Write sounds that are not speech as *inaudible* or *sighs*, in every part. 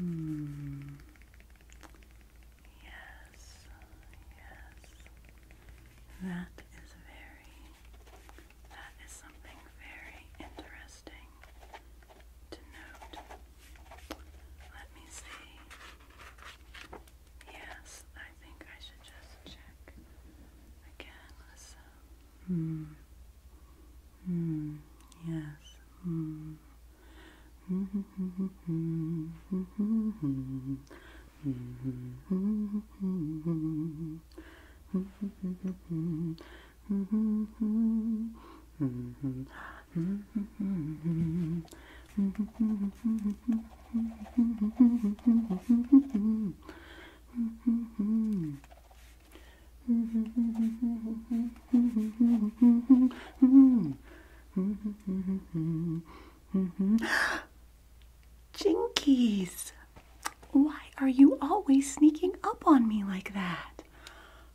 Mm. Yes, yes. That is very, that is something very interesting to note. Let me see. Yes, I think I should just check again. Listen. Mm, yes. Mm. *laughs* Jinkies, why are you always sneaking up on me like that?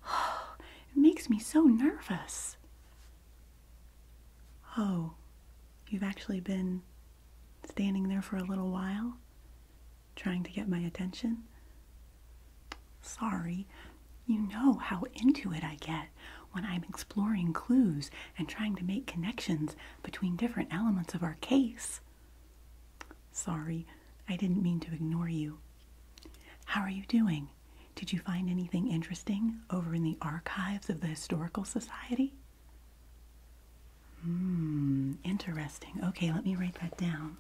*sighs* It makes me so nervous. Oh, you've actually been standing there for a little while? trying to get my attention? Sorry, you know how into it I get when I'm exploring clues and trying to make connections between different elements of our case. Sorry, I didn't mean to ignore you. How are you doing? Did you find anything interesting over in the archives of the Historical Society? Hmm, interesting. Okay, let me write that down.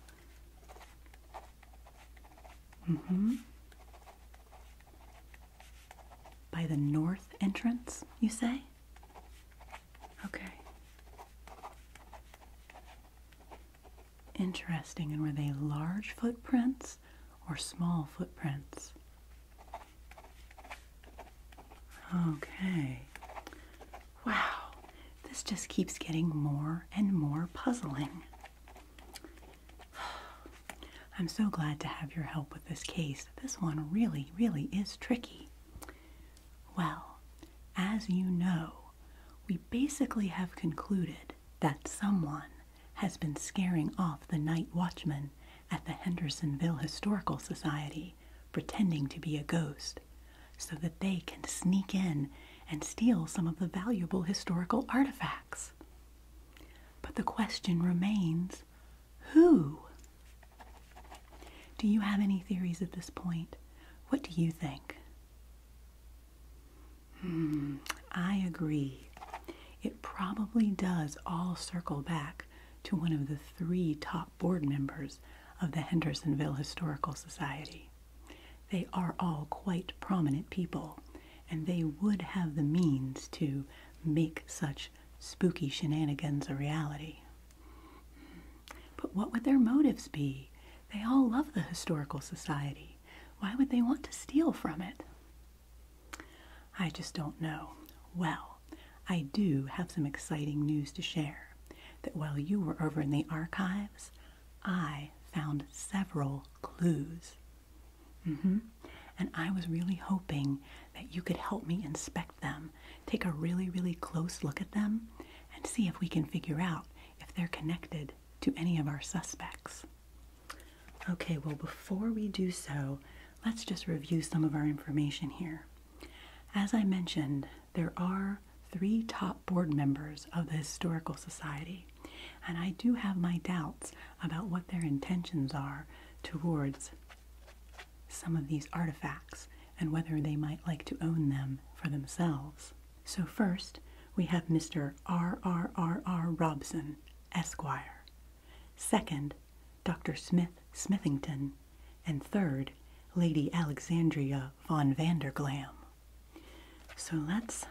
Mm-hmm. By the north entrance, you say? Okay. Interesting. And were they large footprints or small footprints? Okay. Wow, this just keeps getting more and more puzzling. *sighs* I'm so glad to have your help with this case. This one really, really is tricky. Well, as you know, we basically have concluded that someone has been scaring off the night watchman at the Hendersonville Historical Society, pretending to be a ghost, so that they can sneak in and steal some of the valuable historical artifacts. But the question remains who? Do you have any theories at this point? What do you think? Hmm, I agree. It probably does all circle back to one of the three top board members of the Hendersonville Historical Society. They are all quite prominent people, and they would have the means to make such spooky shenanigans a reality. But what would their motives be? They all love the Historical Society. Why would they want to steal from it? I just don't know. Well, I do have some exciting news to share that while you were over in the archives, I found several clues. Mm-hmm. And I was really hoping that you could help me inspect them, take a really, really close look at them, and see if we can figure out if they're connected to any of our suspects. Okay, well, before we do so, let's just review some of our information here. As I mentioned, there are three top board members of the Historical Society, and I do have my doubts about what their intentions are towards some of these artifacts and whether they might like to own them for themselves. So, first, we have Mr. R. R. R. R. Robson, Esquire. Second, Dr. Smith Smithington, and third, Lady Alexandria von Vander Glam. So let's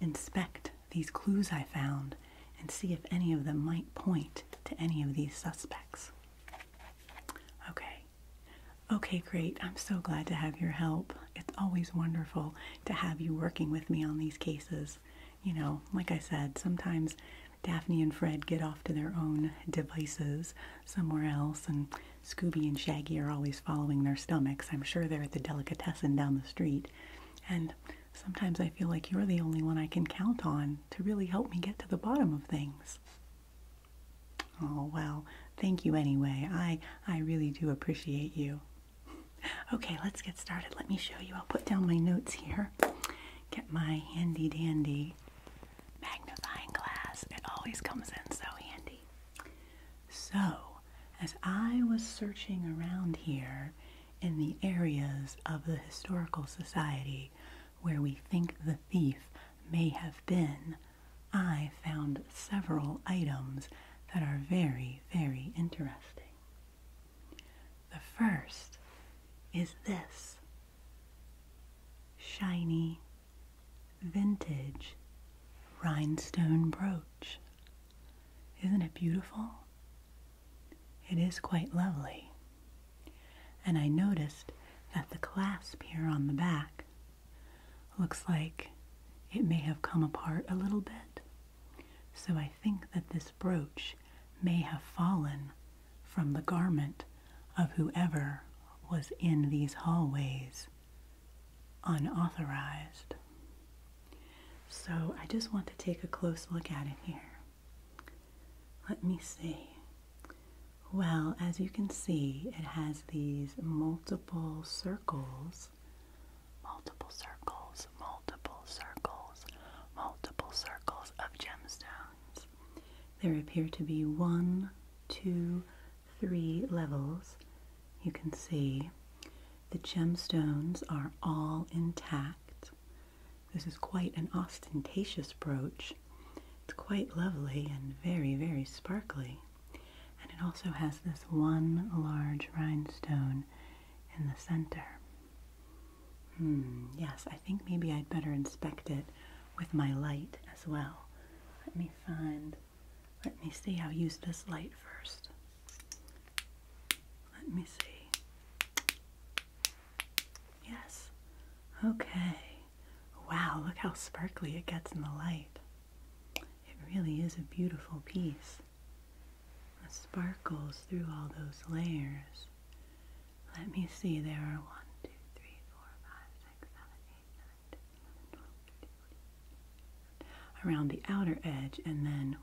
inspect these clues I found and see if any of them might point to any of these suspects. Okay. Okay, great. I'm so glad to have your help. It's always wonderful to have you working with me on these cases. You know, like I said, sometimes Daphne and Fred get off to their own devices somewhere else and Scooby and Shaggy are always following their stomachs. I'm sure they're at the delicatessen down the street. And sometimes I feel like you're the only one I can count on to really help me get to the bottom of things. Oh, well, thank you anyway. I, I really do appreciate you. Okay, let's get started. Let me show you. I'll put down my notes here. Get my handy dandy magnifying glass. It always comes in so handy. So, as I was searching around here in the areas of the historical society where we think the thief may have been, I found several items that are very, very interesting. The first is this shiny vintage rhinestone brooch. Isn't it beautiful? It is quite lovely. And I noticed that the clasp here on the back looks like it may have come apart a little bit. So I think that this brooch may have fallen from the garment of whoever was in these hallways unauthorized. So I just want to take a close look at it here. Let me see. Well, as you can see, it has these multiple circles, multiple circles, multiple circles, multiple circles of gemstones. There appear to be one, two, three levels, you can see the gemstones are all intact. This is quite an ostentatious brooch. It's quite lovely and very, very sparkly. And it also has this one large rhinestone in the center. Hmm, yes, I think maybe I'd better inspect it with my light as well. Let me find, let me see, I'll use this light first. Let me see. Yes. Okay. Wow, look how sparkly it gets in the light. It really is a beautiful piece. It sparkles through all those layers. Let me see, there are one, two, three, four, five, six, seven, eight around the outer edge and then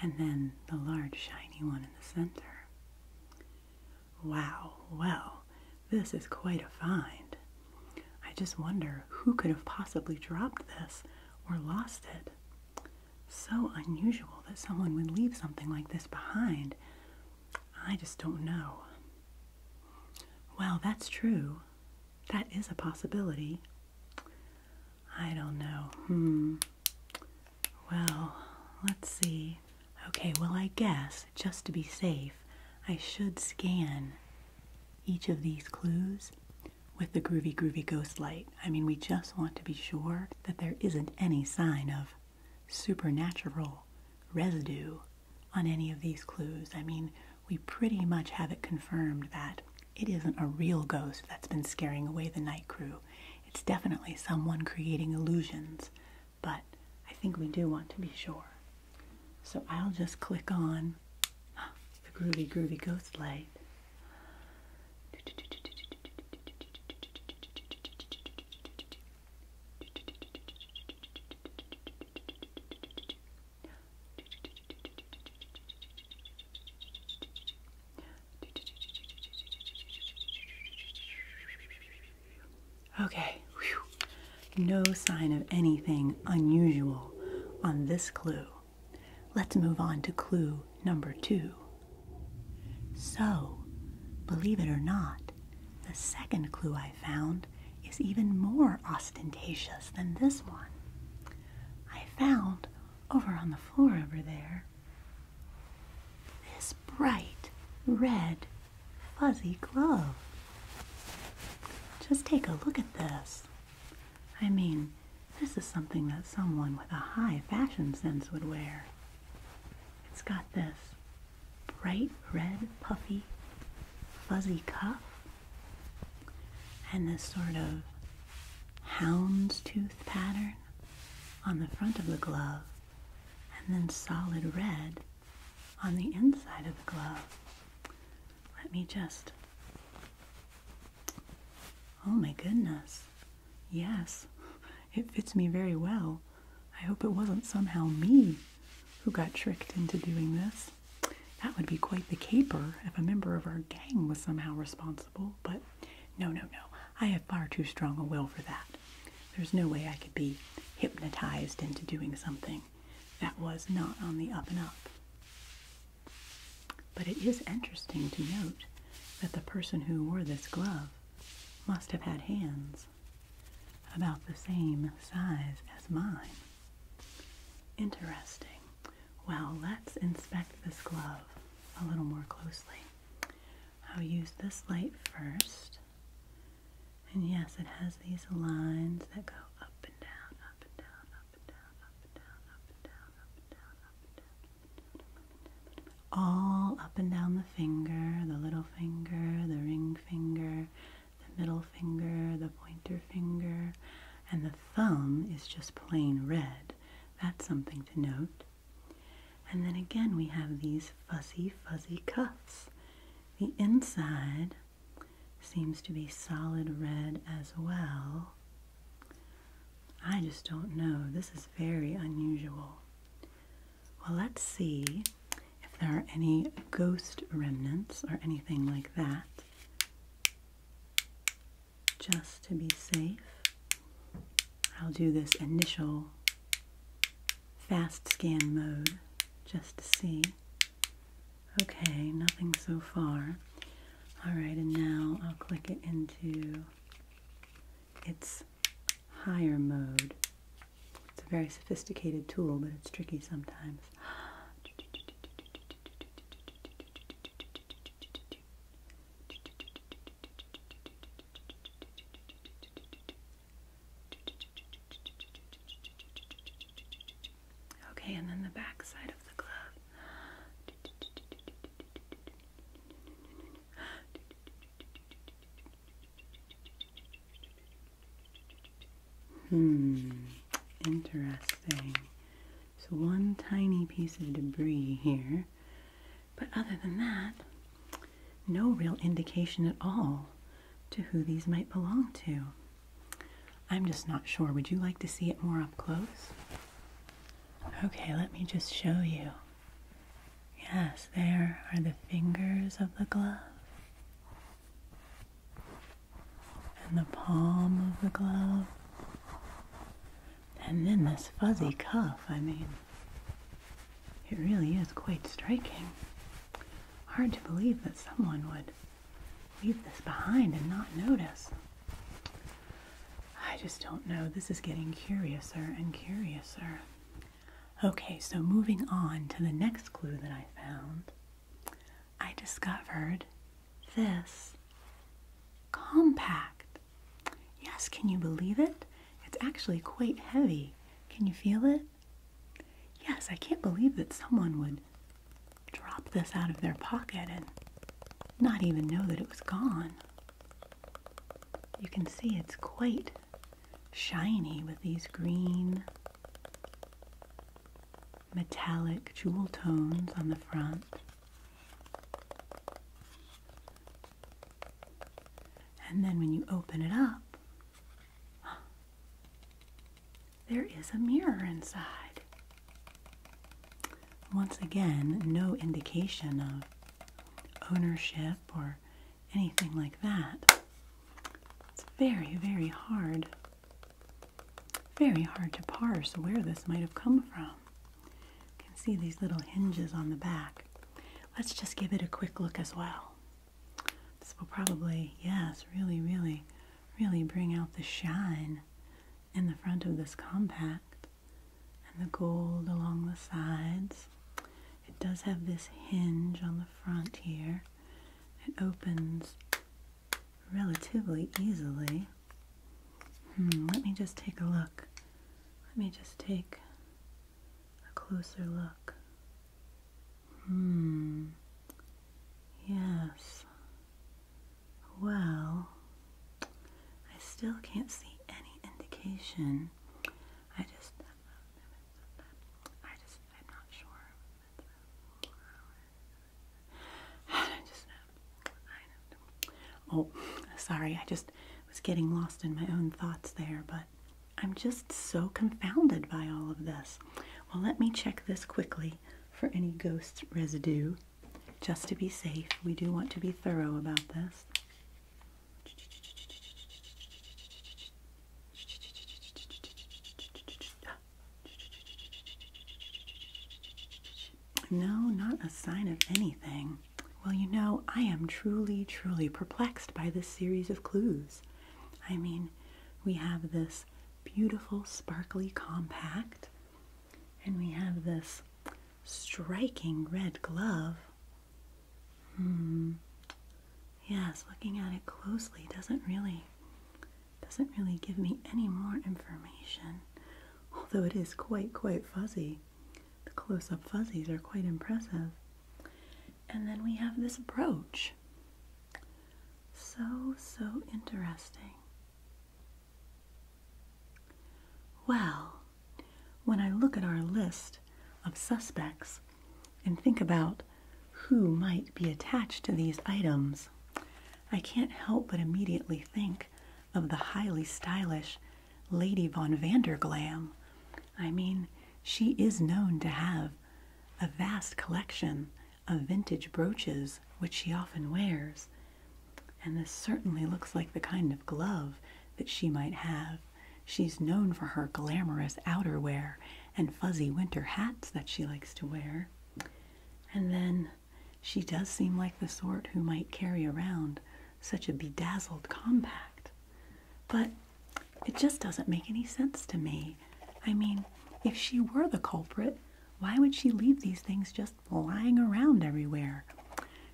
and then the large shiny one in the center. Wow, well, this is quite a find. I just wonder who could have possibly dropped this or lost it so unusual that someone would leave something like this behind. I just don't know. Well, that's true. That is a possibility. I don't know. Hmm. Well, let's see. Okay, well, I guess, just to be safe, I should scan each of these clues with the Groovy Groovy Ghost Light. I mean, we just want to be sure that there isn't any sign of supernatural residue on any of these clues. I mean, we pretty much have it confirmed that it isn't a real ghost that's been scaring away the night crew. It's definitely someone creating illusions, but I think we do want to be sure. So I'll just click on the Groovy Groovy Ghost Light. Okay, no sign of anything unusual on this clue. Let's move on to clue number two. So, believe it or not, the second clue I found is even more ostentatious than this one. I found over on the floor over there this bright red fuzzy glove. Just take a look at this. I mean, this is something that someone with a high fashion sense would wear. It's got this bright red, puffy, fuzzy cuff and this sort of houndstooth pattern on the front of the glove and then solid red on the inside of the glove. Let me just, oh my goodness, Yes, it fits me very well. I hope it wasn't somehow me who got tricked into doing this. That would be quite the caper if a member of our gang was somehow responsible, but no, no, no. I have far too strong a will for that. There's no way I could be hypnotized into doing something that was not on the up and up. But it is interesting to note that the person who wore this glove must have had hands about the same size as mine. Interesting. Well, let's inspect this glove a little more closely. I'll use this light first. And yes, it has these lines that go up and down, up and down, up and down, up and down, up and down, up and down, up and down all up and down the finger, the little finger, the ring finger, the middle finger, the pointer finger, and the thumb is just plain red. That's something to note. And then again, we have these fuzzy, fuzzy cuffs. The inside seems to be solid red as well. I just don't know. This is very unusual. Well, let's see if there are any ghost remnants or anything like that. Just to be safe, I'll do this initial fast scan mode just to see. Okay, nothing so far. Alright, and now I'll click it into its higher mode. It's a very sophisticated tool, but it's tricky sometimes. Okay, and then the back side of the glove. Hmm, interesting. So, one tiny piece of debris here, but other than that, no real indication at all to who these might belong to. I'm just not sure. Would you like to see it more up close? Okay, let me just show you. Yes, there are the fingers of the glove and the palm of the glove, and then this fuzzy cuff. I mean, it really is quite striking. Hard to believe that someone would leave this behind and not notice. I just don't know. This is getting curiouser and curiouser. Okay, so moving on to the next clue that I found, I discovered this compact. Yes, can you believe it? It's actually quite heavy. Can you feel it? Yes, I can't believe that someone would drop this out of their pocket and not even know that it was gone. You can see it's quite shiny with these green metallic jewel tones on the front. And then when you open it up, *gasps* there is a mirror inside. Once again, no indication of ownership or anything like that. It's very, very hard. Very hard to parse where this might have come from. You can see these little hinges on the back. Let's just give it a quick look as well. This will probably, yes, really, really, really bring out the shine in the front of this compact and the gold along the sides. It does have this hinge on the front here. It opens relatively easily. Hmm, let me just take a look. Let me just take a closer look. Hmm. Yes. Well, I still can't see any indication. I just, I just, I'm not sure. I just, know. Oh, sorry, I just was getting lost in my own thoughts there, but I'm just so confounded by all of this. Well, let me check this quickly for any ghost residue. Just to be safe, we do want to be thorough about this. No, not a sign of anything. Well, you know, I am truly, truly perplexed by this series of clues. I mean, we have this beautiful, sparkly compact, and we have this striking red glove. Hmm. Yes, looking at it closely doesn't really doesn't really give me any more information. Although it is quite quite fuzzy. The close-up fuzzies are quite impressive. And then we have this brooch. So so interesting. Well, when I look at our list of suspects and think about who might be attached to these items, I can't help but immediately think of the highly stylish Lady Von Vanderglam. I mean, she is known to have a vast collection of vintage brooches which she often wears, and this certainly looks like the kind of glove that she might have. She's known for her glamorous outerwear and fuzzy winter hats that she likes to wear. And then she does seem like the sort who might carry around such a bedazzled compact. But it just doesn't make any sense to me. I mean, if she were the culprit, why would she leave these things just lying around everywhere.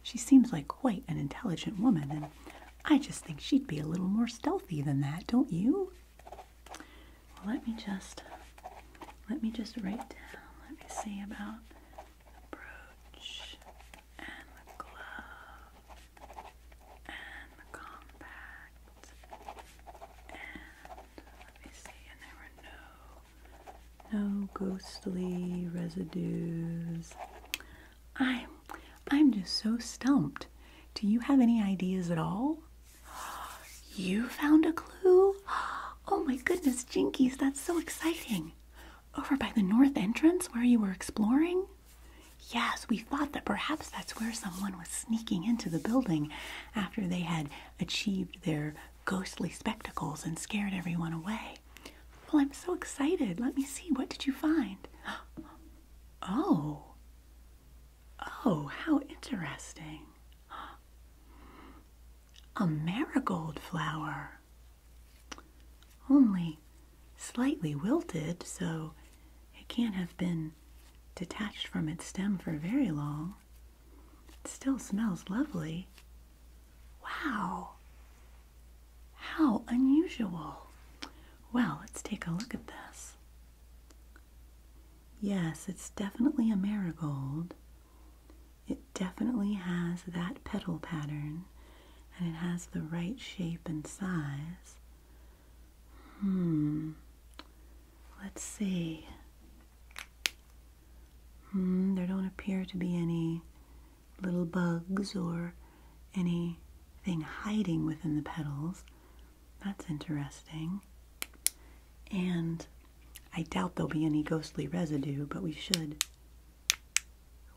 She seems like quite an intelligent woman, and I just think she'd be a little more stealthy than that, don't you? Well, let me just let me just write down. Let me see about the brooch and the glove and the compact and let me see no ghostly residues. I'm I'm just so stumped. Do you have any ideas at all? You found a clue? Oh my goodness, Jinkies, that's so exciting. Over by the north entrance where you were exploring? Yes, we thought that perhaps that's where someone was sneaking into the building after they had achieved their ghostly spectacles and scared everyone away. Well, I'm so excited. Let me see. What did you find? *gasps* Oh. Oh, how interesting. *gasps* A marigold flower. Only slightly wilted, so it can't have been detached from its stem for very long. It still smells lovely. Wow. How unusual. Well, let's take a look at this. Yes, it's definitely a marigold. It definitely has that petal pattern and it has the right shape and size. Hmm. Let's see. Hmm, there don't appear to be any little bugs or anything hiding within the petals. That's interesting. And I doubt there'll be any ghostly residue, but we should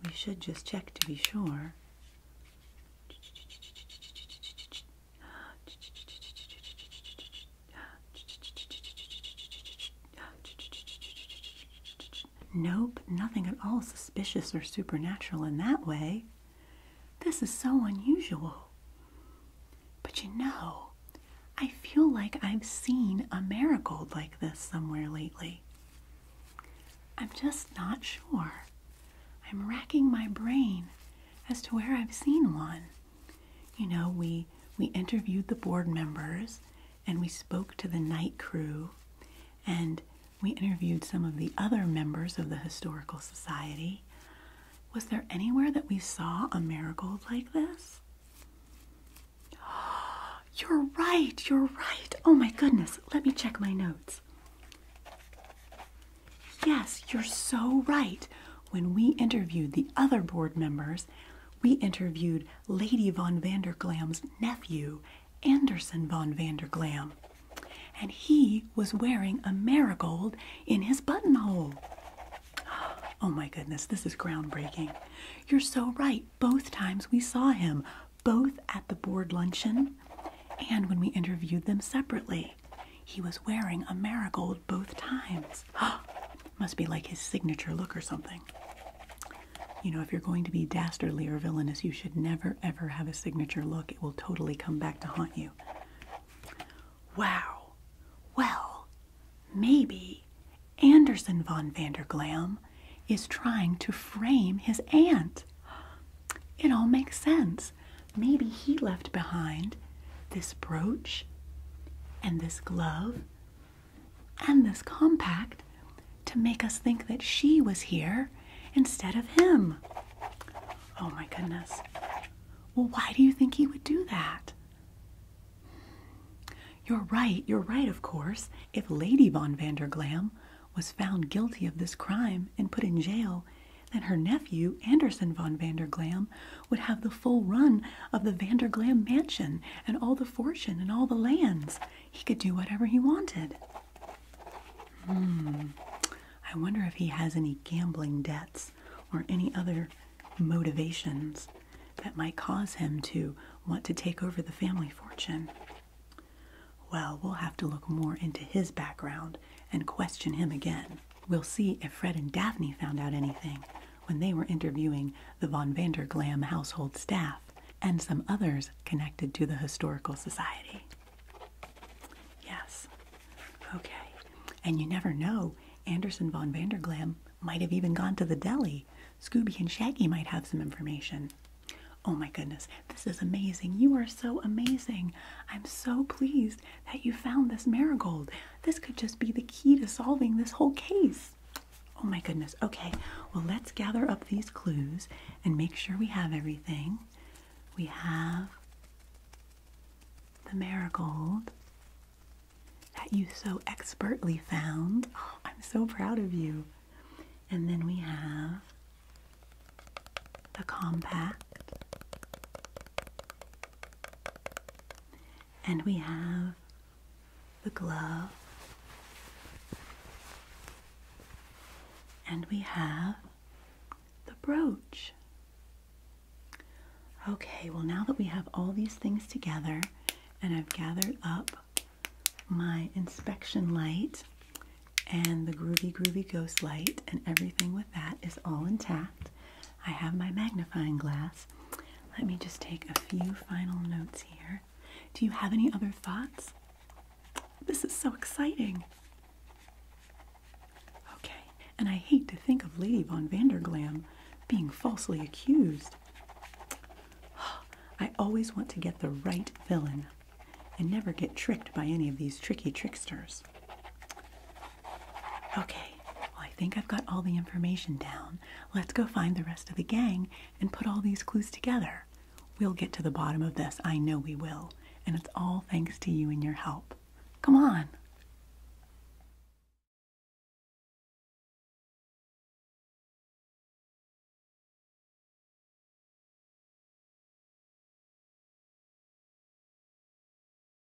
we should just check to be sure. Nope, nothing at all suspicious or supernatural in that way. This is so unusual. But you know, I feel like I've seen a marigold like this somewhere lately. I'm just not sure. I'm racking my brain as to where I've seen one you know, we we interviewed the board members and we spoke to the night crew and we interviewed some of the other members of the historical society. Was there anywhere that we saw a marigold like this? *gasps* You're right, you're right. Oh my goodness, let me check my notes. Yes, you're so right when we interviewed the other board members, we interviewed Lady von Vander Glam's nephew, Anderson von Vander Glam, and he was wearing a marigold in his buttonhole. *gasps* Oh my goodness, this is groundbreaking. You're so right. Both times we saw him, both at the board luncheon and when we interviewed them separately. He was wearing a marigold both times. *gasps* Oh must be like his signature look or something. You know, if you're going to be dastardly or villainous, you should never ever have a signature look. It will totally come back to haunt you. Wow. Well, maybe Anderson von Glam is trying to frame his aunt. It all makes sense. Maybe he left behind this brooch, and this glove, and this compact to make us think that she was here instead of him. Oh my goodness. Well, why do you think he would do that? You're right, you're right, of course. If Lady Von Vanderglam was found guilty of this crime and put in jail, then her nephew, Anderson Von Vanderglam, would have the full run of the Vanderglam mansion and all the fortune and all the lands. He could do whatever he wanted. Hmm. I wonder if he has any gambling debts or any other motivations that might cause him to want to take over the family fortune. Well, we'll have to look more into his background and question him again. We'll see if Fred and Daphne found out anything when they were interviewing the von Vanderglam household staff and some others connected to the Historical Society. Yes. Okay. And you never know, Anderson von Vanderglam might have even gone to the deli. Scooby and Shaggy might have some information. Oh my goodness, this is amazing. You are so amazing. I'm so pleased that you found this marigold. This could just be the key to solving this whole case. Oh my goodness. Okay, well, let's gather up these clues and make sure we have everything. We have the marigold that you so expertly found. Oh, I'm so proud of you. And then we have the compact and we have the glove. And we have the brooch. Okay, well, now that we have all these things together and I've gathered up my inspection light and the Groovy Groovy Ghost light and everything with that is all intact, I have my magnifying glass. Let me just take a few final notes here. Do you have any other thoughts? This is so exciting. Okay, and I hate to think of Lady von Glam being falsely accused. *gasps* I always want to get the right villain and never get tricked by any of these tricky tricksters. Okay, well, I think I've got all the information down. Let's go find the rest of the gang and put all these clues together. We'll get to the bottom of this. I know we will. And it's all thanks to you and your help. Come on.